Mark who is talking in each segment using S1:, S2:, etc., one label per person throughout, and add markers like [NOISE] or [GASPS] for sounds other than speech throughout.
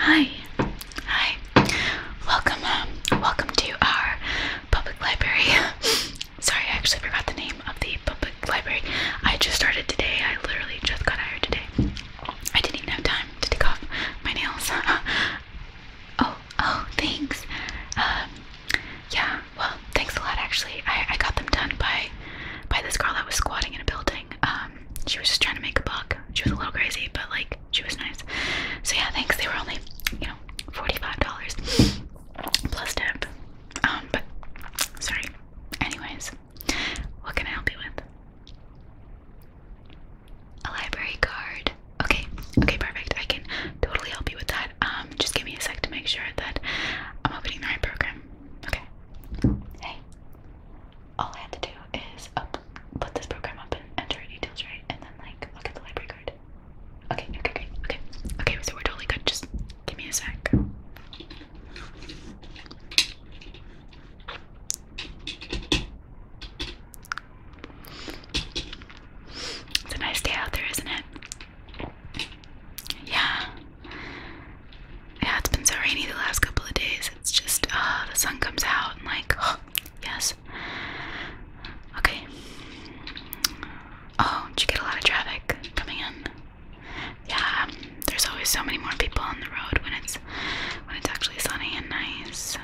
S1: Hi. Hi. Welcome. Um, welcome to our public library. [LAUGHS] sorry, I actually forgot the name of the public library. I just started today. I literally just got hired today. I didn't even have time to take off my nails. [LAUGHS] oh, oh, thanks. Um, yeah, well, thanks a lot. Actually, I, I got them done by by this girl that was squatting in a building. Um, she was just trying to make a buck. She was a little crazy, but like she was nice. So yeah, thanks. They were only, you know, forty-five dollars plus tip. Um, but sorry. Anyways, what can I help you with? A library card. Okay, okay, perfect. I can totally help you with that. Um, just give me a sec to make sure that I'm opening the right program. Okay. Hey. All I have to do is up, put this program up and enter details right, and then like look at the library card. Okay, okay, okay, okay. Okay, so we're totally good. Just give me a sec. It's a nice day out there, isn't it? Yeah. Yeah, it's been so rainy the last couple of days. It's just, uh, the sun comes out and, like, oh, [GASPS] yes. Okay. Oh, did you get a lot of traffic coming in? Yeah, um, there's always so many more people on the road when it's when it's actually sunny and nice.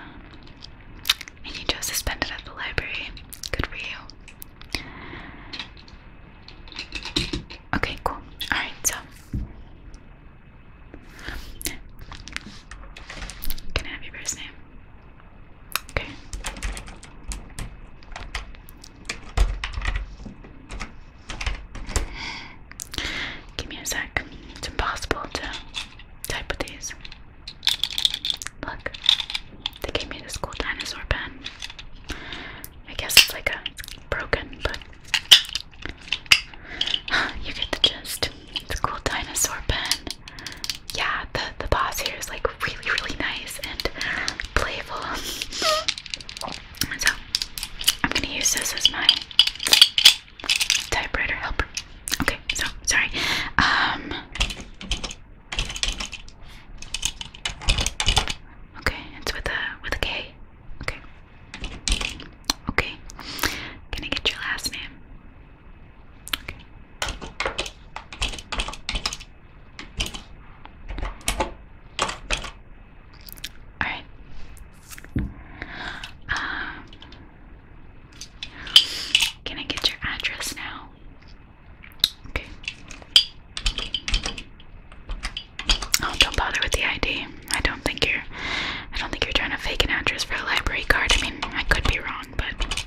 S1: And you just suspended at the library. Good for you. Okay, cool. Alright, so can I have your first name? Okay. Give me a sec. It's impossible to type with these. Look, they gave me this cool dinosaur pen. I guess it's like a broken, but [GASPS] you get the gist. It's a cool dinosaur pen yeah, the the boss here is like really really nice and playful. So I'm gonna use this as my typewriter helper. Okay, so sorry. Um. Okay, it's with a with a K. Okay. Okay. Can I get your last name? Okay. Alright. Um, can I get your address now? Okay. Oh, don't bother with the ID. I don't think you're I don't think you're trying to fake an address for a library card. I mean, I could be wrong, but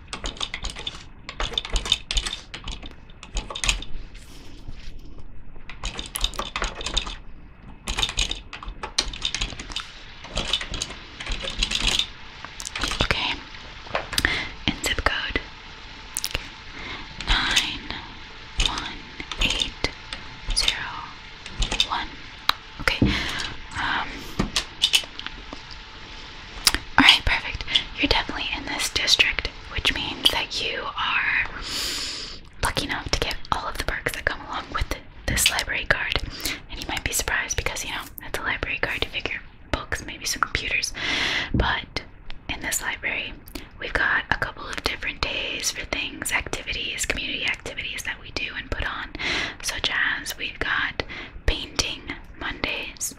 S1: Okay. zip code nine one eight zero one. Okay. Um, Alright, perfect. You're definitely in this district, which means that you are lucky enough to get all of the perks that come along with this library card. And you might be surprised because, you know, that's a library card, you figure books, maybe some computers. But in this library, we've got a couple of different days for things, activities, community activities that we do and put on, such as we've got painting Mondays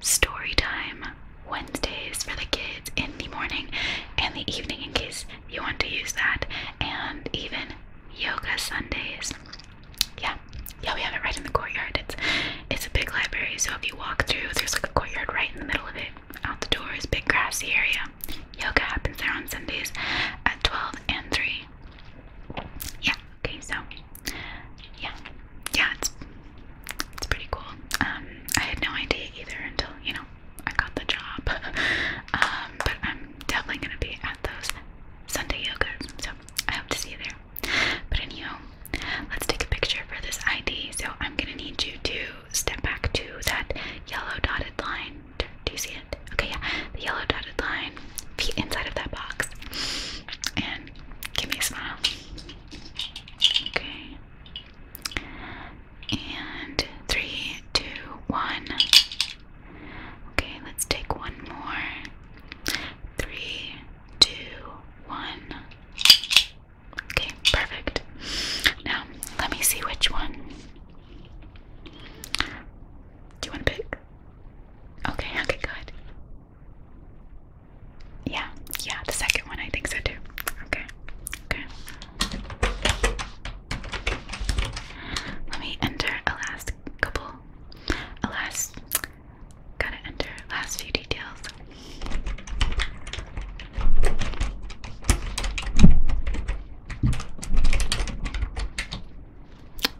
S1: story time Wednesdays for the kids in the morning and the evening in case you want to use that, and even yoga Sundays. Yeah, yeah, we have it right in the courtyard. It's it's a big library, so if you walk through, there's like a courtyard right in the middle of it. Out the door doors, big grassy area. Yoga happens there on Sundays at 12 and 3. Yeah, okay, so yeah, yeah, it's it's pretty cool. Um, I had no idea either until you know I got the job. [LAUGHS] Um, but I'm definitely gonna be at those Sunday yogas, so I hope to see you there. But anyhow, let's take a picture for this ID. So I'm gonna need you to step back to that yellow dotted line. Do you see it? Okay, yeah, the yellow dotted line, feet inside of that box, and give me a smile. Okay. And three, two, one. Okay, let's take one more. Three, two, one. Okay, perfect. Now, let me see which one. Do you want to pick? Okay, okay, good. Yeah, yeah, the second one I think so too. Okay, okay. Let me enter a last couple, a last, gotta enter last few details.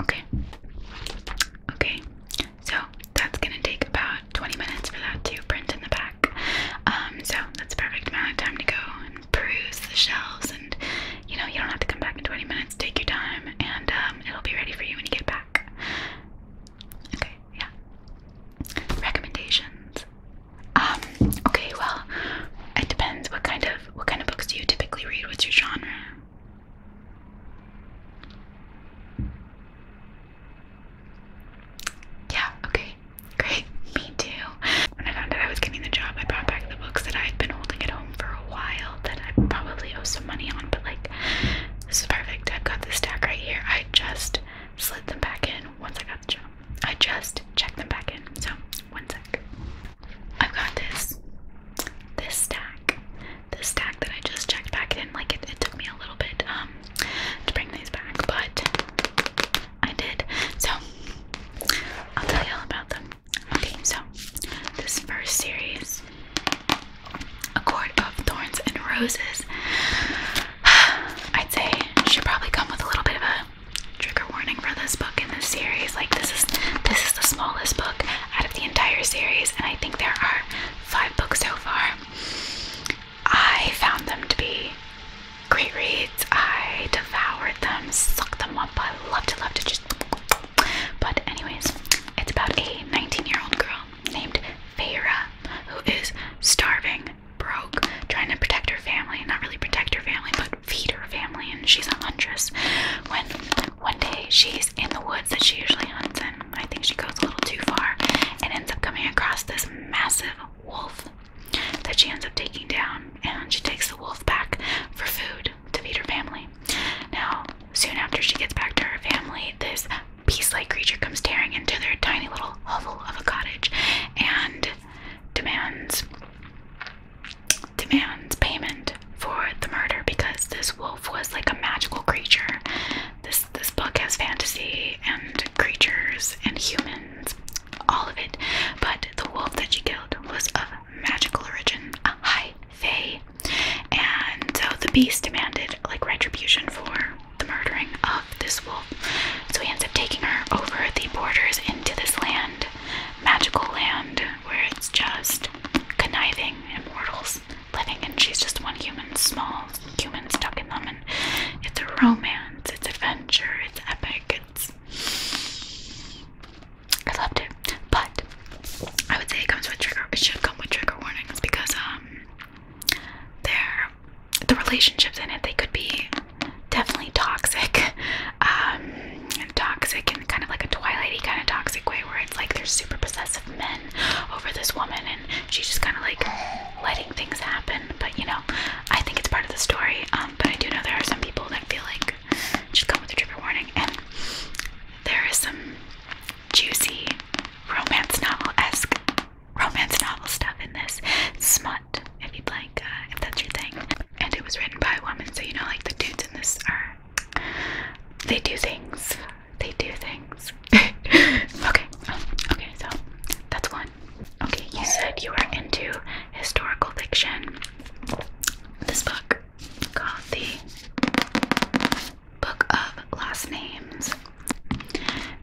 S1: Okay. Okay. So that's gonna take about 20 minutes for that to print in the back. Um, so that's a perfect amount of time to go and peruse the shelves, and you know you don't have to come back in 20 minutes. Take your time, and um, it'll be ready for you when you get back. Okay, yeah. Recommendations. Um, okay, well, it depends. What kind of what kind of books do you typically read? What's your genre? Yeah, okay, great. Me too. When I found out I was getting the job, I brought back the books that I've been holding at home for a while that I probably owe some money on, but like, this is perfect. I've got this stack right here. I just slid them back in once I got the job. I just checked them back in. So, one sec. I've got this, this stack, the stack that I just checked back in. Like it, took me a little bit um to bring these back, but I did. So I'll tell you all about them. Okay, so this first series, A Court of Thorns and Roses, [SIGHS] I'd say should probably come with a little bit of a trigger warning for this book in this series. Like this is this is the smallest book out of the entire series, and I think there are five books so far. I found them to be great reads. I devoured them, sucked them up. I loved to love to Just. But, anyways, it's about a 19 year old girl named Feyra who is starving, broke, trying to protect her family. Not really protect her family, but feed her family. And she's a huntress. When one day she's in the woods that she usually hunts in, I think she goes a little too far and ends up coming across this massive wolf that she ends up taking down, and she takes the wolf back for food to feed her family. Now, soon after she gets back to her family, this beast-like creature comes tearing into their tiny little hovel of a cottage and demands demands payment for the murder because this wolf was like a magical creature. This this book has fantasy and creatures and humans, all of it. But the wolf that she killed was of magical origin, a high fae, and so the beast demanded like retribution for the murdering of this wolf. So he ends up taking her over the borders into this land, magical land, where it's just conniving immortals living and she's just one human, small human stuck in them. And it's a romance, it's adventure, it's epic, it's. I loved it. But I would say it comes with trigger, it should come with trigger warnings because, um, they're. The relationships in it, they could be definitely toxic, [LAUGHS] um, toxic and kind of like a Twilighty kind of toxic way, where it's like there's super possessive men over this woman she's just kind of like letting things happen. But you know, I think it's part of the story. Um, but I do know there are some people that feel like she's coming with a trigger warning, and there is some juicy romance novel esque romance novel stuff in this smut, if you'd like, uh, if that's your thing. And it was written by a woman, so you know, like the dudes in this are they do things they do things. [LAUGHS] okay, um, okay, so that's one. Okay, you said you were into historical fiction. This book called The Book of Last Names.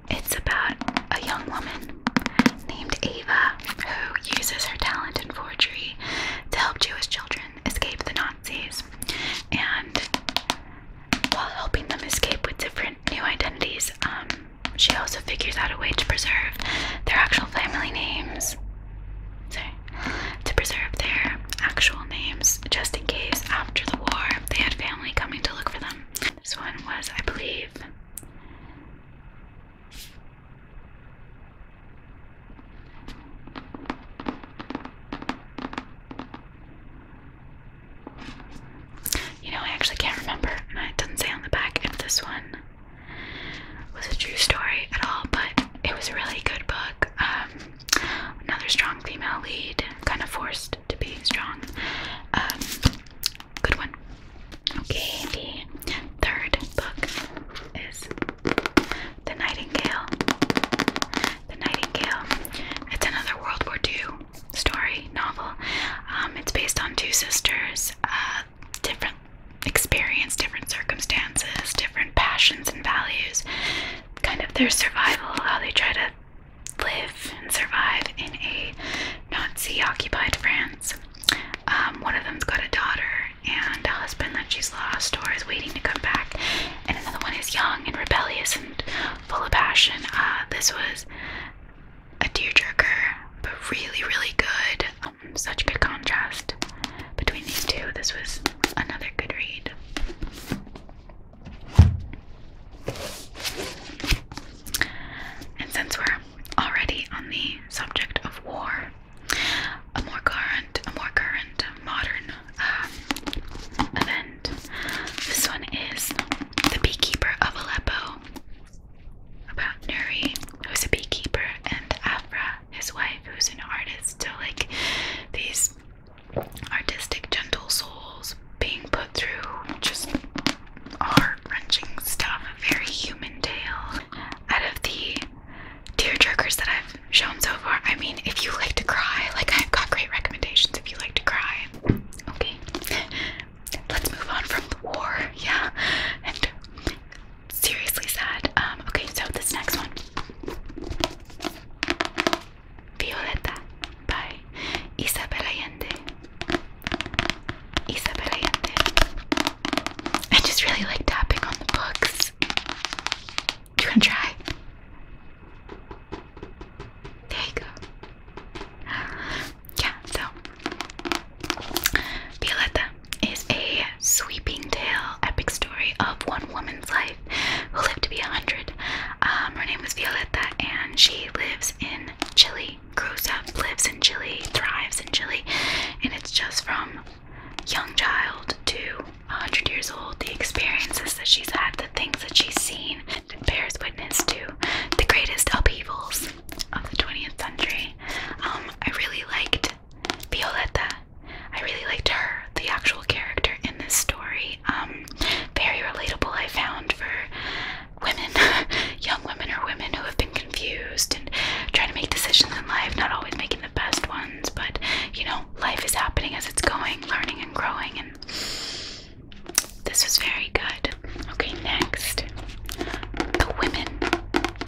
S1: It's about a young woman named Ava who uses her talent in forgery to help Jewish children escape the Nazis. And while helping them escape with different new identities, um, she also figures out a way to preserve their actual family names. Sorry. To preserve their actual names, just in case after the war they had family coming to look for them. This one was, I believe. You know, I actually can't remember, and it doesn't say on the back if this one was a true story at all, but it was a really good book. Um, another strong female lead, kind of forced to be strong. Um, good one. Okay, the third book is The Nightingale. The Nightingale. It's another World War II story novel. Um, it's based on two sisters, uh, different experience, different circumstances, different passions and values. Kind of their survival, how they try to live and survive in a Nazi-occupied France. Um, one of them's got a daughter and a husband that she's lost or is waiting to come back, and another one is young and rebellious and full of passion. Uh, this was a tearjerker, but really, really good. Um, such good contrast between these two. This was another good read. And since we're already on the subject of war, a more current, a more current modern uh, event. This one is The Beekeeper of Aleppo, about Nuri, who's a beekeeper, and Afra, his wife, who's an artist. So, like, these artistic, gentle souls being put through just heart wrenching stuff, a very human tale. Out of the tear jerkers that I've shown so far, I mean, if you like to cry, like I've got great recommendations if you like to cry, okay. Let's move on from the war, yeah. And seriously sad. Um, okay, so this next one. Violeta by Isabel Allende. Isabel Allende. I just really like tapping on the books. Do you wanna try? There you go. [GASPS] Yeah, so Violeta is a sweeping tale, epic story of one woman's life who lived to be a hundred. Um, her name was Violeta, and she lives in Chile. Grows up, lives in Chile, thrives in Chile, and it's just from young child to 100 years old the experiences that she's had, the things that she's seen, and bears witness to the greatest upheavals of the 20th century. Um, I really liked Violetta. I really liked her, the actual character in this story. Um, very relatable, I found, for women, [LAUGHS] young women or women who have been confused and trying to make decisions in life, not always making the best ones, but you know, life is happening as it's going, learning and growing, and this was very good. Okay, next. The women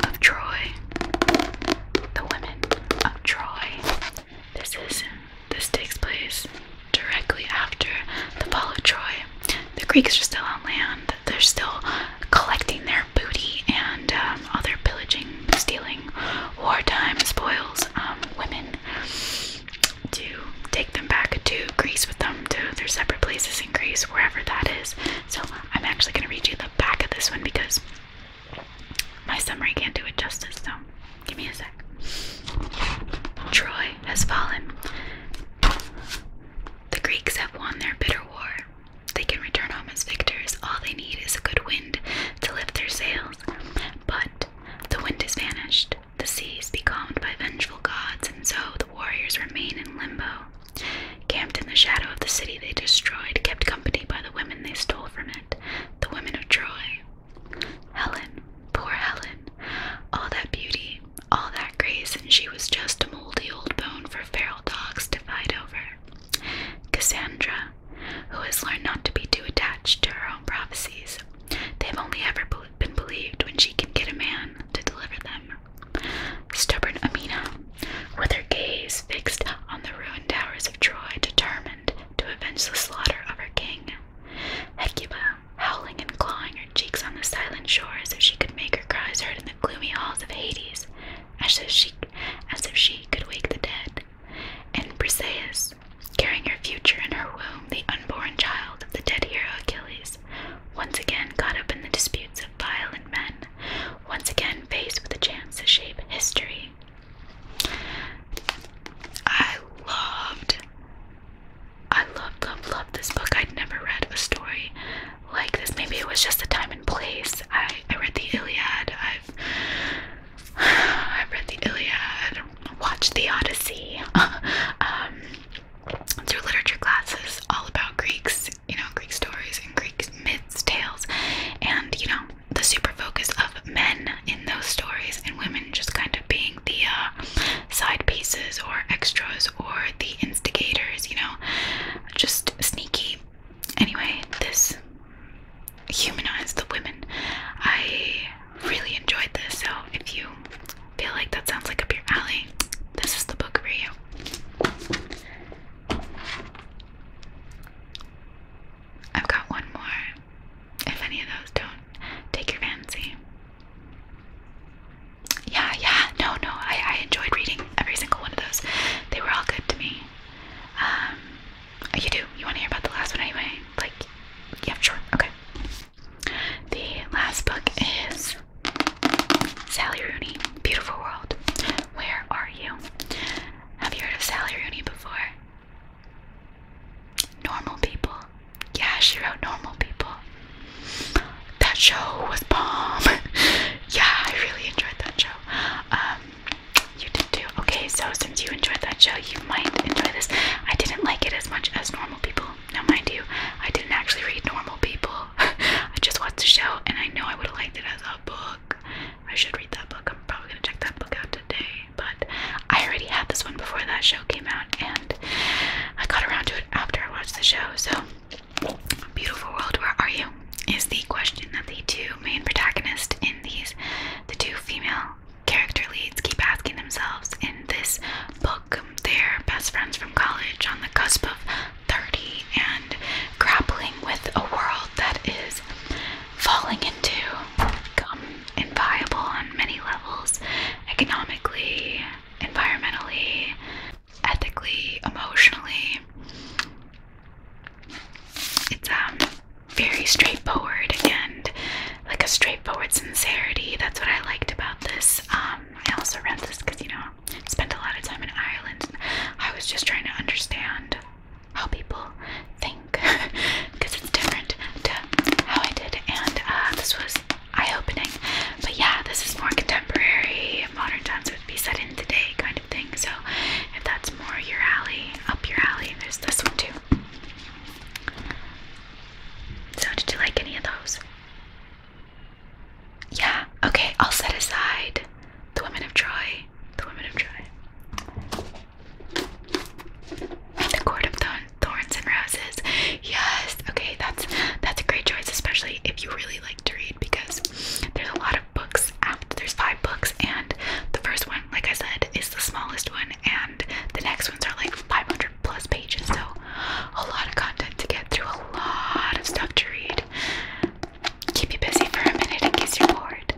S1: of Troy. The women of Troy. This is this takes place directly after the fall of Troy. The Greeks are still on land. They're still collecting their booty and um, other pillaging, stealing, wartime spoils. Um, women to take them back to Greece with them to their separate places in Greece, wherever that is. So I'm actually going to read you the back of this one because my summary can't do it justice. So give me a sec. Troy has fallen. The Greeks have won their bitter war. They can return home as victors. All they need is a good wind to lift their sails. But the wind has vanished. The seas is becalmed by vengeful gods, and so the warriors remain in limbo. Camped in the shadow of the city they destroyed, kept company by the women they stole from it, the women of Troy. Helen, poor Helen, all that beauty, all that grace, and she was just a moldy old bone for feral dogs to fight over. Cassandra, who has learned not to be too attached to her own prophecies, They've only ever been believed when she can get a man to deliver them. Stubborn Amina, with her gaze fixed on the ruined towers of Troy, determined to avenge the slaughter of her king. Hecuba, howling and clawing her cheeks on the silent shore as if she could make her cries heard in the gloomy halls of Hades, as if she, as if she could wake the dead. And Briseis, carrying her future in her womb, the unborn child of the dead hero Achilles, once again caught up in the disputes of violent men, once again faced with a chance to shape history. I loved, I loved, loved, loved this book. I'd never read a story like this. Maybe it was just the time and place. I, I read the Iliad. I've, [SIGHS] I've read the Iliad watch The Odyssey, [LAUGHS] um, through literature classes, all about Greeks, you know, Greek stories and Greek myths, tales, and you know, the super focus of men in those stories and women just kind of being the uh, side pieces or extras or the instigators, you know, just sneaky. Anyway, this humanized the women. I really enjoyed this, so if you feel like that sounds like up your alley, this is the book for you. I've got one more. If any of those don't take your fancy. Yeah, yeah, no, no, I, I enjoyed reading every single one of those. They were all good to me. Um, you do? You want to hear about the last one anyway? Like, yeah, sure, okay. The last book is Sally Rooney, Beautiful World. Where Are You? Have you heard of Sally Rooney before? Normal People. Yeah, she wrote Normal People. That show was bomb. [LAUGHS] yeah, I really enjoyed that show. Um, you did too. Okay, so since you enjoyed that show, you might enjoy this. I didn't like it as as much as normal people. Now, mind you, I didn't actually read normal people. [LAUGHS] I just watched the show, and I know I would have liked it as a book. I should read that book. I'm probably gonna check that book out today. But I already had this one before that show came out, and I got around to it after I watched the show. So, beautiful world, where are you? Is the question that the two main protagonists in these, the two female character leads keep asking themselves in this book. their best friends from college on the cusp of 30 and grappling with a world that is falling into become inviable on many levels economically, environmentally, ethically, emotionally. It's um very straightforward and like a straightforward sincerity. That's what I liked about this. Um, I also read this because you know spent a lot of time in Ireland. I was just trying to understand how people think because [LAUGHS] it's different to how I did. And uh, this was eye-opening. But yeah, this is more contemporary, modern times would be set in today kind of thing. So if that's more your alley, up your alley, there's this one too. So, did you like any of those? Yeah, okay, I'll set aside the women of Troy, the women of Troy, the court of thorns and roses. Yes, okay, that's that's a great choice, especially if you really like to read because there's a lot of books out. There's five books, and the first one, like I said, is the smallest one, and the next ones are like 500 plus pages, so a lot of content to get through, a lot of stuff to read. Keep you busy for a minute in case you're bored.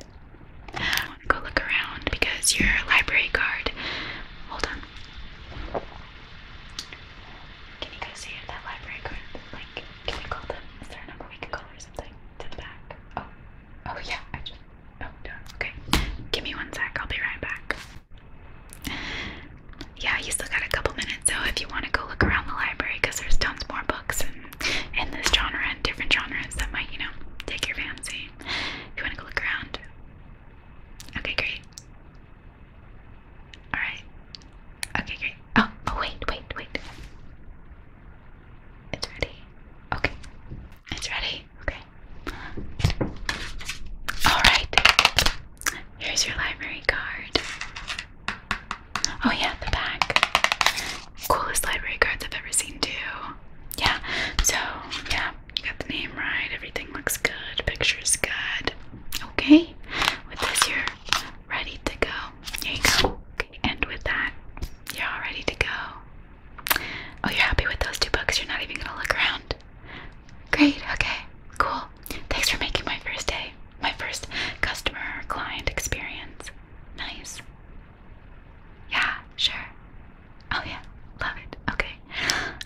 S1: go look around because your library card. Hold on. Can you guys see that library card? Like, can you call them? Is there a number we could call or something? To the back. Oh, oh yeah. I just Oh, Okay. Give me one sec. I'll be right back. Yeah, you still got a couple minutes, so if you want to go look around the library, because there's tons more books in, this genre and different genres that might, you know, take your fancy. you want to go look around. Okay, great. Alright. Okay, great. Oh, oh, wait, wait, wait. It's ready. Okay. It's ready. Okay, Alright. Here's your library card. Oh, yeah, the back. Coolest library cards I've ever seen, too. Yeah, so, yeah, you got the name right. Everything looks good. Picture's good. Okay, with this, you're ready to go. There you go. Okay, and with that, you're all ready to go. Oh, you're happy with those two books? You're not even gonna look around. Great, okay, cool. Thanks for making my first day, my first customer client experience. Nice. Yeah, sure. Oh, yeah, love it. Okay.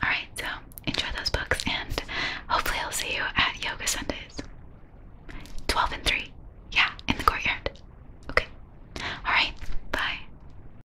S1: Alright, so enjoy those books, and hopefully, I'll see you at Yoga Sundays. 12 and 3. Yeah, in the courtyard. Okay. Alright, bye.